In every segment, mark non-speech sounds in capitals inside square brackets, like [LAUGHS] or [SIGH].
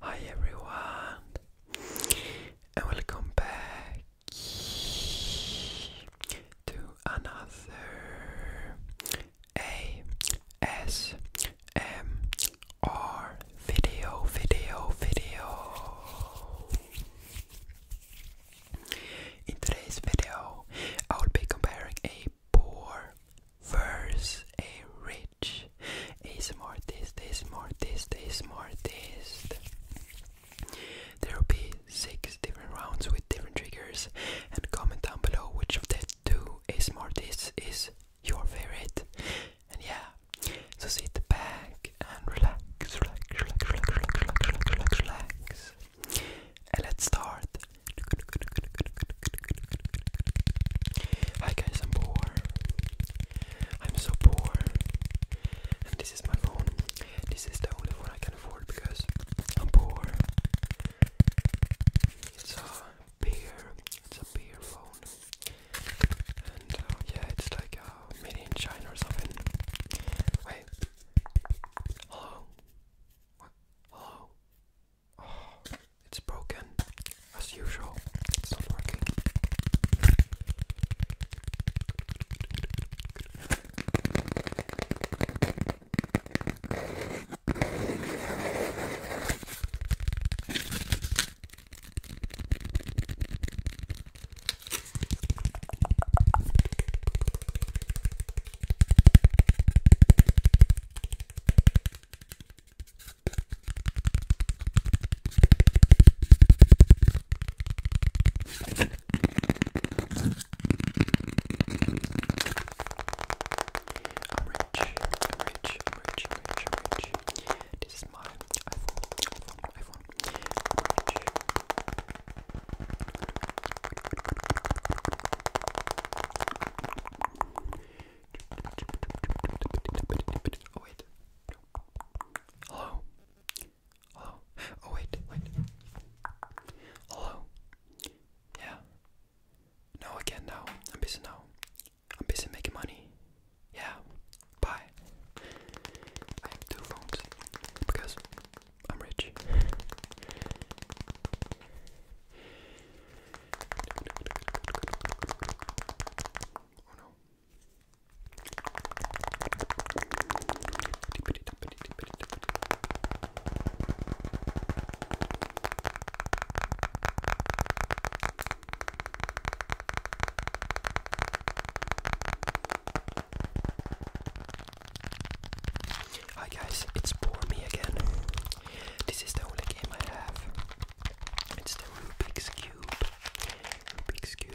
Hi everyone, and welcome back to another ASMR video, video, video. In today's video, I will be comparing a poor versus a rich Is this? ASMR artist, this? Is more this? There will be six different rounds with different triggers, and comment down below which of the two is more this is your favorite. And yeah, so sit back and relax, relax, relax, relax, relax, relax, relax, relax let's start. Hi guys, I'm poor. I'm so poor. And this is my phone. This is the only phone I can afford because I'm poor. It's a beer. It's a beer phone. And uh, yeah, it's like uh, made in China or something. Wait. Hello. Hello? it's broken, as usual. It's not working. I'm rich, I'm rich, I'm rich, I'm rich, I'm rich. This is my iPhone, iPhone, iPhone. I'm rich. Oh wait. Hello. Hello. Oh wait, wait. Hello. Yeah. No, I can I'm busy now. I'm busy making money. Yeah. Bye. I have two phones because I'm rich. oh no. Hi guys, it's poor me again. This is the only game I have. It's the Rubik's Cube. Rubik's Cube.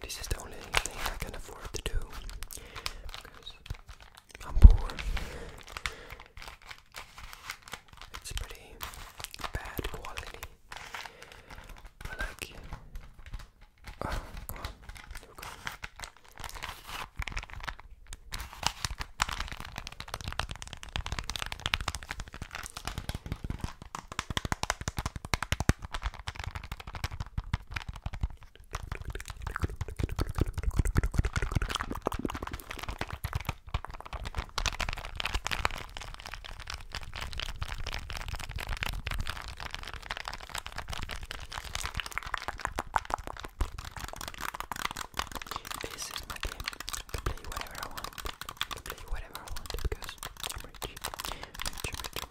This is the only thing I can afford to do because I'm poor. It's pretty bad quality. I like ah, come on. Here we this is my game to play whatever I want, to play whatever I want because I'm rich. rich, rich, rich.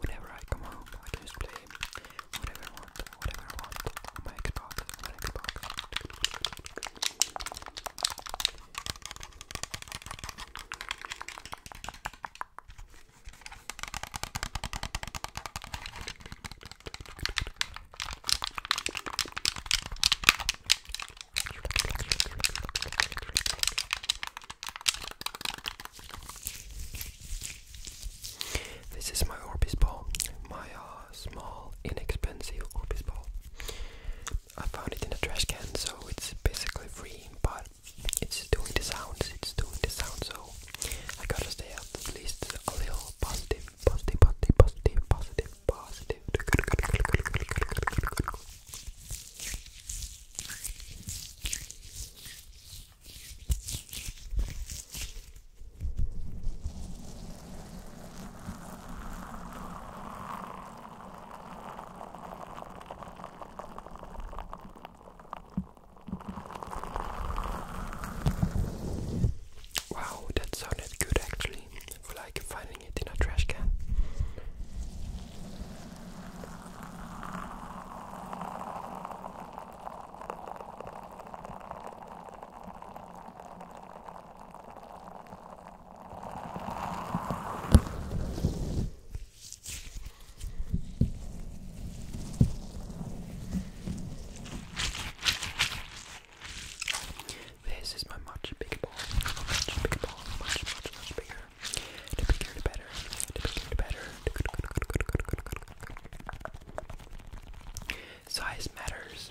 Whenever I come home, I just play whatever I want, whatever I want on my Xbox, on my Xbox. This is my Orbis ball, my uh, small, inexpensive Orbis ball. I found it in a trash can, so it's basically free, but it's doing the sounds, it's doing the sound, so I gotta stay up at least a little positive, positive, positive, positive, positive, positive. Wow, that sounded good actually, like finding it in a trash can. This is my much bigger ball, much bigger ball, much, much, much bigger to be better, to be better. Size matters.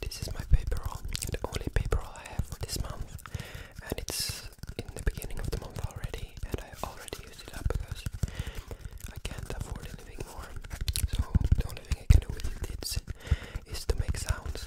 This is my paper roll, the only paper roll I have for this month, and it's in the beginning of the month already, and I already used it up because I can't afford anything more. So the only thing I can do with it is, to make sounds.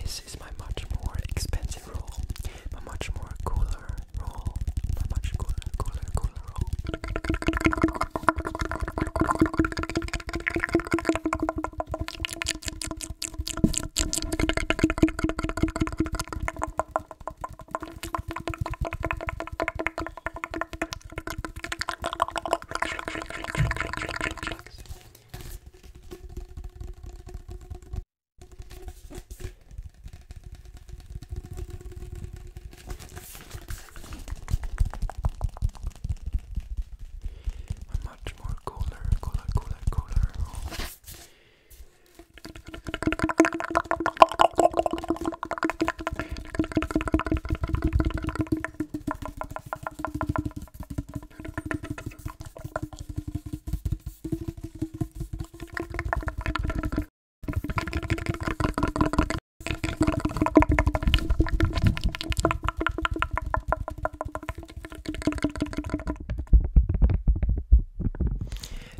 This is my much more expensive roll, but much more cooler roll. A much cooler, cooler, cooler roll. A much more cooler, cooler, cooler, cooler home.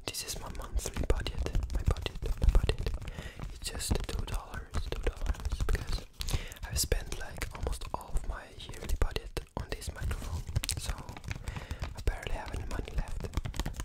This is my monthly budget. My budget, my budget. It's just two dollars, two dollars, because I've spent like almost all of my yearly budget on this microphone, so I barely have any money left.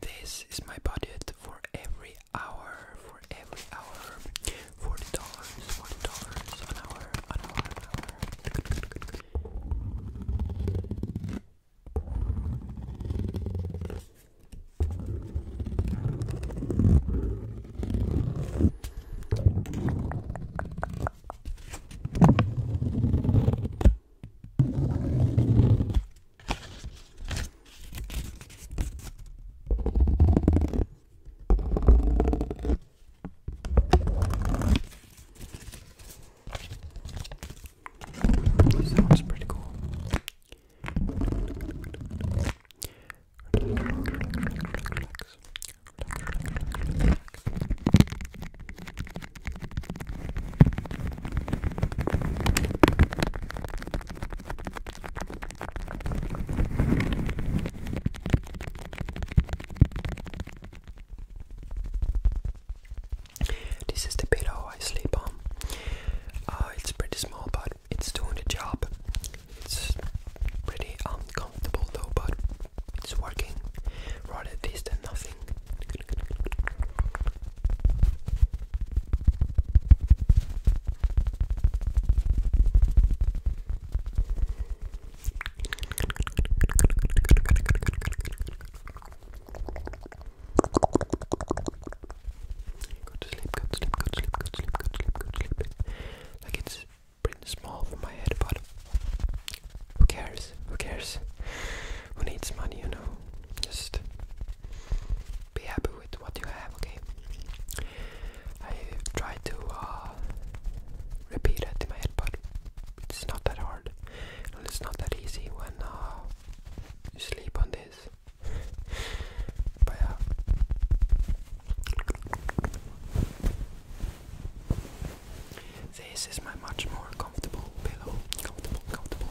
This is my budget for every hour, for every hour, forty dollars, forty dollars an hour, an hour, an hour. Sounds pretty cool. Relax, relax, relax, relax. This is the pillow I sleep on. Uh, it's pretty small, but it's doing the job. It's pretty uncomfortable though, but it's working. Rather this than nothing. Go to sleep, go to sleep, go to sleep, go to sleep, go to sleep, go to sleep. Like it's pretty small for my head, but who cares? Who cares? Who needs money, you know? Just be happy with what you have, okay? I try to uh, repeat it in my head, but it's not that hard. And it's not that easy when uh, you sleep on this. [LAUGHS] but yeah. Uh, this is my much more comfortable pillow. Comfortable, comfortable.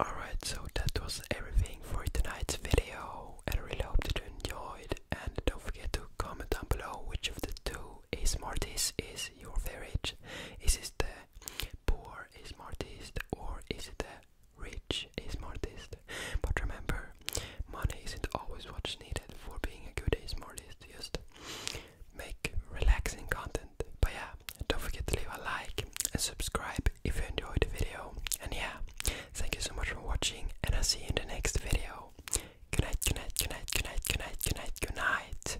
Alright, so that was everything for tonight's video, and I really hope that you enjoyed. And don't forget to comment down below which of the two is Smarties is your favorite. Is it the poor smartest, or is it a rich smartest? But remember, money isn't always what's needed for being a good smartest. Just make relaxing content. But yeah, don't forget to leave a like and subscribe if you enjoyed the video. And yeah, thank you so much for watching, and I'll see you in the next video. Good night, good night, good night, good night, good night, good night, good night.